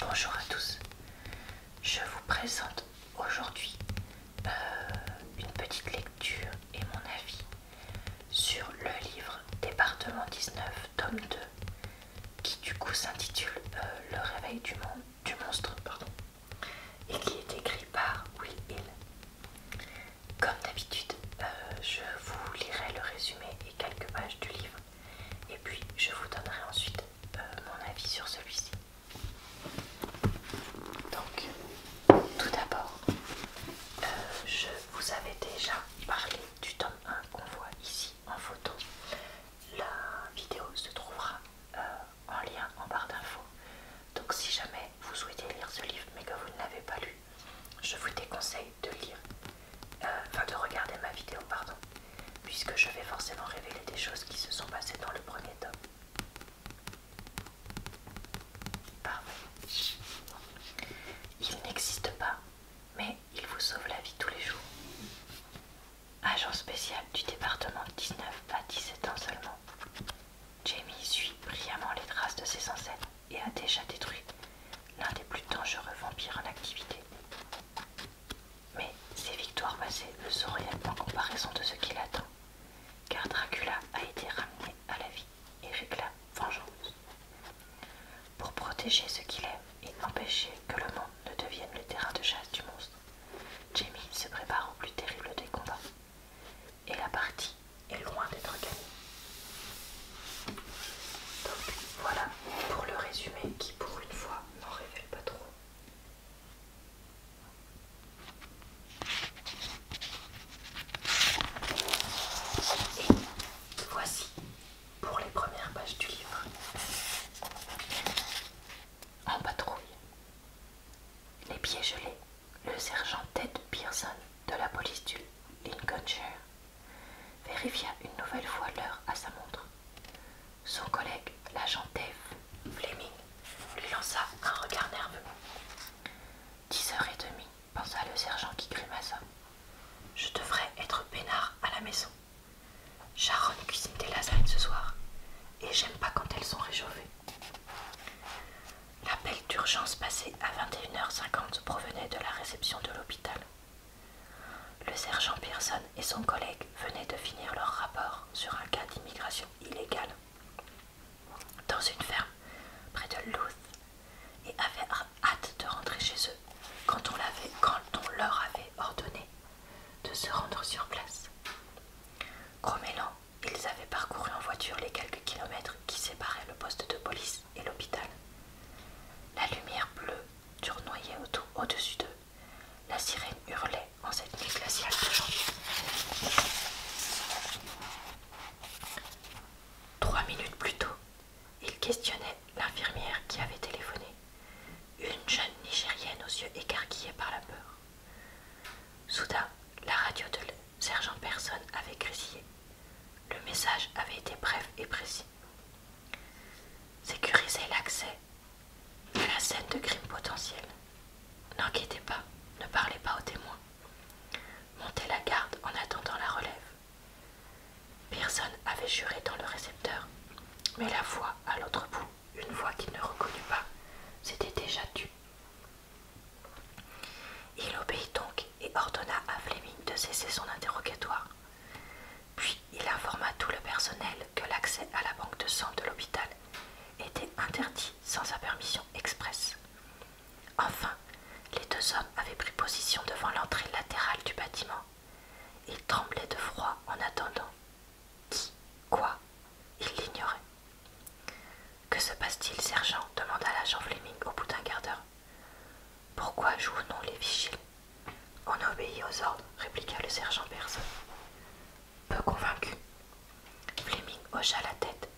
Bonjour à tous, je vous présente aujourd'hui euh, une petite lecture et mon avis sur le livre Département 19, tome 2, qui du coup s'intitule euh, Le réveil du, monstre pardon, et qui est écrit par Will Hill. Comme d'habitude, euh, je vous lirai le résumé et quelques pages du livre et puis je vous donnerai ensuite euh, mon avis sur celui-ci. Donc, tout d'abord, euh, je vous avais déjà parlé du tome 1 qu'on voit ici en photo. La vidéo se trouvera euh, en lien en barre d'infos. Donc, si jamais vous souhaitez lire ce livre mais que vous ne l'avez pas lu, je vous déconseille de lire euh, de regarder ma vidéo, pardon, puisque je vais forcément révéler des choses qui se sont passées dans le premier tome. Parfait. Il n'existe pas, mais il vous sauve la vie tous les jours. Agent spécial du département 19 à 17 ans seulement. Jamie suit brillamment les traces de ses ancêtres et a déjà détruit l'un des plus dangereux vampires en activité. Mais ses victoires passées ne sont rien en comparaison de ce qui l'attend, car Dracula a été ramené à la vie et réclame vengeance. Pour protéger ce qu'il aime et empêcher que le monde ne devienne le terrain de chasse du monstre, Jamie se prépare au plus terrible des combats. Et la partie est loin d'être gagnée. Donc voilà pour le résumé qui, pour une fois, n'en révèle pas trop. Et voici pour les premières pages du livre. En patrouille. Les pieds gelés, le sergent Ted Pearson de la police du Lincolnshire vérifia une nouvelle fois l'heure à sa montre. Son collègue, l'agent Dave Fleming, lui lança un regard nerveux. Dix heures et demie, pensa le sergent qui grimaça. Je devrais être peinard à la maison. Sharon cuisine des lasagnes ce soir, et j'aime pas quand elles sont réchauffées. L'appel d'urgence passé à 21h50 provenait de la réception de l'hôpital. Le sergent Pearson et son collègue venaient de finir leur rapport sur un cas d'immigration illégale dans une ferme près de Louth et avaient hâte de rentrer chez eux quand on, leur avait ordonné de se rendre sur place. Gros ils avaient parcouru en voiture les quelques kilomètres qui séparaient le poste de police et l'hôpital. La lumière bleue tournoyait au-dessus d'eux la sirène hurlait en cette nuit glaciale de janvier. Trois minutes plus tôt, il questionnait l'infirmière qui avait téléphoné, une jeune Nigérienne aux yeux écarquillés par la peur. Soudain, la radio de sergent Personne avait grésillé. Le message avait été bref et précis. Sécuriser l'accès à la scène de crime potentiel. N'inquiétez pas, ne parlez pas aux témoins. Montez la garde en attendant la relève. Personne avait juré dans le récepteur, mais la voix à l'autre bout, une voix qu'il ne reconnut pas, s'était déjà tue. Il obéit donc et ordonna à Fleming de cesser son interrogatoire. Puis il informa tout le personnel que l'accès à la banque de sang de l'hôpital était interdit sans sa permission expresse. Enfin, les deux hommes avaient pris position devant l'entrée latérale du bâtiment. Ils tremblaient de froid en attendant. Qui Quoi Ils l'ignoraient. Que se passe-t-il, sergent demanda l'agent Fleming au bout d'un quart d'heure. Pourquoi jouons nous les vigiles on a obéi aux ordres, répliqua le sergent Persson, Peu convaincu, Fleming hocha la tête,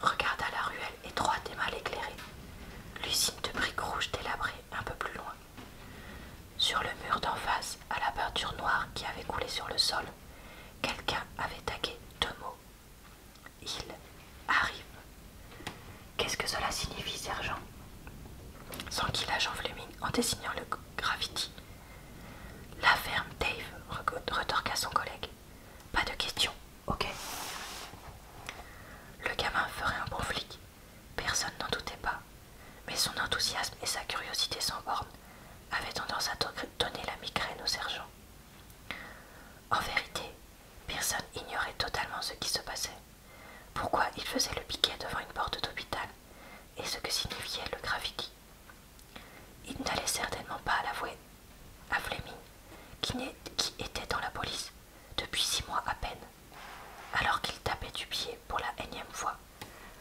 regarda la ruelle étroite et mal éclairée, l'usine de briques rouges délabrée un peu plus loin. Sur le mur d'en face, à la peinture noire qui avait coulé sur le sol, quelqu'un avait tagué deux mots. Il arrive. Qu'est-ce que cela signifie, sergent sans qu'il Fleming en désignant le gravity, La ferme, Dave, retorqua son collègue. Pas de question, ok Le gamin ferait un bon flic, personne n'en doutait pas, mais son enthousiasme et sa curiosité sans borne avaient tendance à donner la migraine au sergent. En vérité, personne ignorait totalement ce qui se passait pourquoi il faisait le piquet devant une porte d'hôpital et ce que signifiait le graffiti. Il n'allait certainement pas à l'avouer à Fleming, qui, qui était dans la police depuis six mois à peine, alors qu'il tapait du pied pour la énième fois.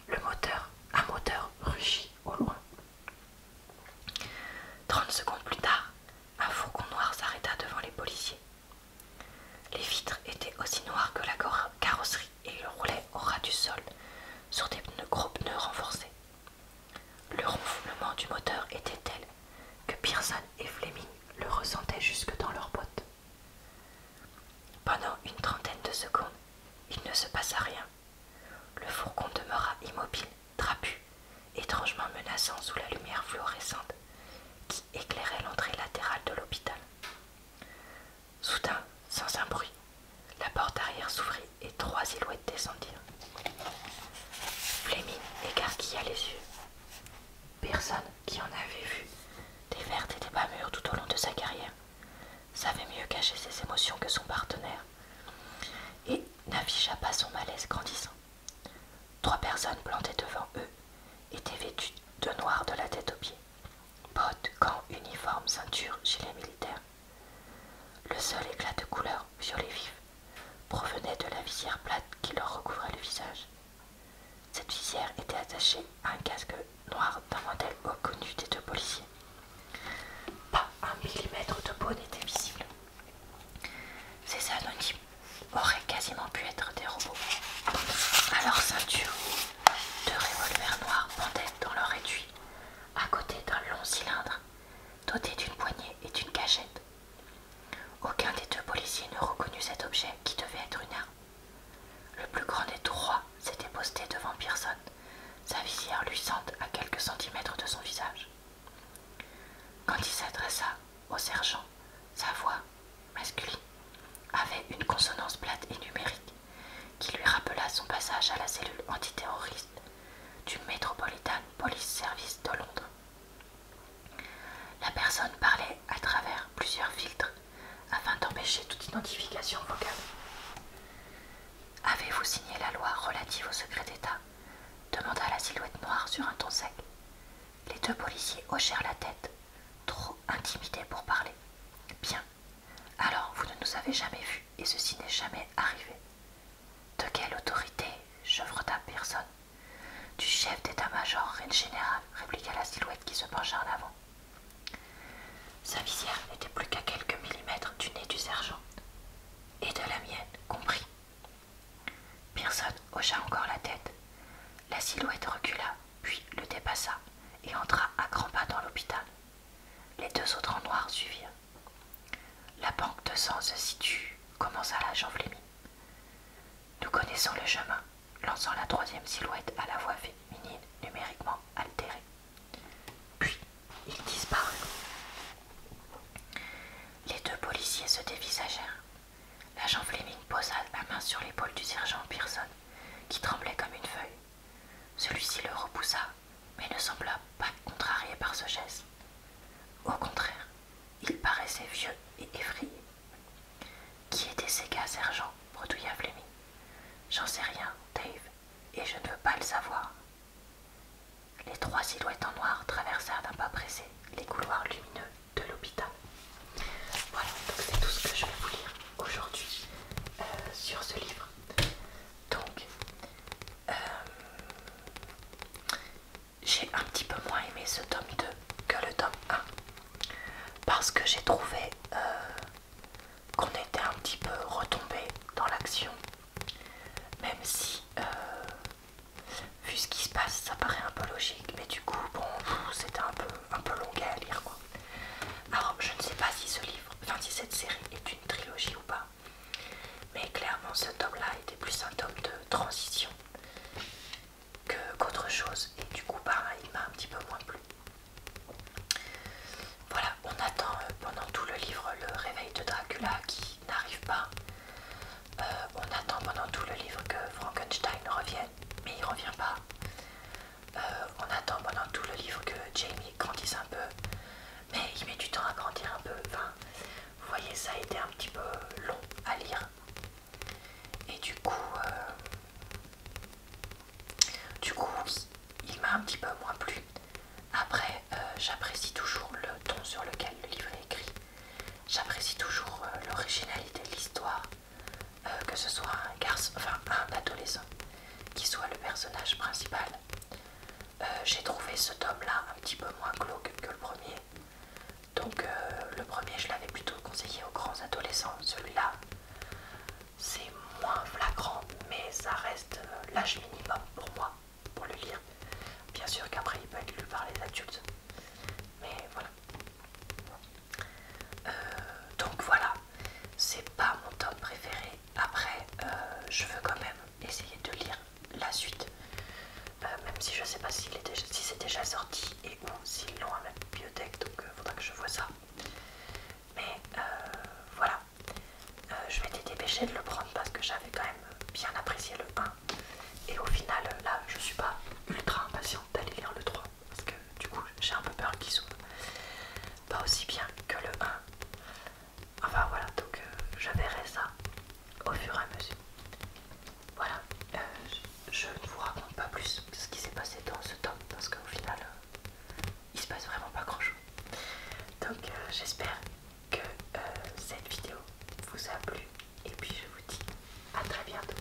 Le moteur, un moteur rugit au loin. Trente secondes plus tard, un fourgon noir s'arrêta devant les policiers. Les vitres étaient aussi noires que la carrosserie et ils roulaient au ras du sol sur des gros pneus renforcés. Le ronflement du moteur était tel que Pearson et Fleming le ressentaient jusque dans leurs bottes. Pendant une trentaine de secondes, il ne se passa rien. Le fourgon demeura immobile, trapu, étrangement menaçant sous la lumière fluorescente qui éclairait l'entrée latérale de l'hôpital. Soudain, sans un bruit, la porte arrière s'ouvrit et trois silhouettes descendirent. Flemming écarquilla les yeux. Personne qui en avait vu des vertes et des pas mûres tout au long de sa carrière savait mieux cacher ses émotions que son partenaire et n'afficha pas son malaise grandissant. Trois personnes plantées devant eux étaient vêtues de noir de la tête aux pieds. Bottes, gants, uniformes, ceintures, les militaires. Le seul éclat de couleur, violet vif, provenait de la visière plate qui leur recouvrait le visage. Cette visière était attachée à un casque noir d'un modèle reconnu des deux policiers. Pas un millimètre de peau n'était visible. Ces anonymes auraient quasiment pu être des robots. Alors ceinture, deux revolvers noirs pendaient dans leur étui, à côté d'un long cylindre, doté d'une poignée et d'une cachette. Aucun des deux policiers ne reconnut cet objet qui devait être une arme. Le plus grand des trois s'était posté devant Pearson, sa visière luisante à quelques centimètres de son visage. Quand il s'adressa au sergent, sa voix, masculine avait une consonance plate et numérique qui lui rappela son passage à la cellule antiterroriste du Metropolitan Police Service de Londres. La personne parlait à travers plusieurs filtres afin d'empêcher toute identification vocale. Avez-vous signé la loi relative au secret d'État demanda la silhouette noire sur un ton sec. Les deux policiers hochèrent la tête, Trop intimidé pour parler. Bien. Alors, vous ne nous avez jamais vus et ceci n'est jamais arrivé. De quelle autorité chevrota personne. Du chef d'état-major, reine général, répliqua la silhouette qui se pencha en avant. Sa visière n'était plus qu'à quelques millimètres du nez du sergent. Et de la mienne, compris. Pearson hocha encore la tête. La silhouette recula, puis le dépassa et entra à grands pas dans l'hôpital. Les deux autres en noir suivirent. La banque de sang se situe, commença l'agent Fleming. Nous connaissons le chemin, lançant la troisième silhouette à la voix féminine numériquement altérée. Puis il disparut. Les deux policiers se dévisagèrent. L'agent Fleming posa la main sur l'épaule du sergent Pearson qui tremblait comme une feuille. Celui-ci le repoussa, mais ne sembla pas contrarié par ce geste. Au contraire, il paraissait vieux et effrayé. Qui étaient ces gars, sergent bredouilla Flemmy. J'en sais rien, Dave, et je ne veux pas le savoir. Les trois silhouettes en noir traversèrent d'un pas pressé les couloirs lumineux de l'hôpital. Voilà, donc c'est tout ce que je vais vous lire aujourd'hui euh, sur ce livre. Donc, euh, j'ai un petit peu moins aimé ce tome 2 que le tome 1 parce que j'ai trouvé euh, qu'on était un petit peu retombé dans l'action, même si, vu ce qui se passe, ça paraît un peu logique, mais du coup, bon, c'était un peu un peu longuet à lire quoi. Alors je ne sais pas si ce livre, enfin si cette série est une trilogie ou pas, mais clairement ce tome là était plus un tome de transition qu'autre chose et du coup bah, il m'a un petit peu moins plu. Voilà, on attend euh, pendant tout le livre le réveil de Dracula qui n'arrive pas. Euh, on attend pendant tout le livre que Frankenstein revienne, mais il revient pas. Euh, on attend pendant tout le livre que Jamie grandisse un peu, mais il met du temps à grandir un peu. vous voyez, ça a été un petit peu long à lire. Et du coup, euh, du coup, il m'a un petit peu moins plu. Après, euh, j'apprécie toujours le ton sur lequel le livre est écrit. J'apprécie toujours l'originalité de l'histoire. Euh, que ce soit un garçon, enfin un adolescent, qui soit le personnage principal. Euh, j'ai trouvé ce tome-là un petit peu moins glauque que le premier. Donc euh, le premier, je l'avais plutôt conseillé aux grands adolescents. Celui-là, c'est moins flagrant, mais ça reste l'âge minimum pour moi, pour le lire. Bien sûr qu'après, il peut être lu par les adultes. Mais voilà. Euh, donc voilà, c'est pas mon tome préféré. Après, euh, je veux quand même essayer de lire la suite, euh, même si je ne sais pas si c'est déjà sorti et où s'ils l'ont à la bibliothèque, donc il faudra que je vois ça. Mais voilà, je m'étais dépêchée de le prendre parce que j'avais quand même bien apprécié le 1. Et au final, là, je suis pas ultra impatiente d'aller lire le 3 parce que du coup j'ai un peu peur qu'il s'ouvre pas aussi bien que le 1 enfin voilà donc euh, je verrai ça au fur et à mesure voilà euh, je ne vous raconte pas plus ce qui s'est passé dans ce tome parce qu'au final euh, il se passe vraiment pas grand chose donc j'espère que cette vidéo vous a plu et puis je vous dis à très bientôt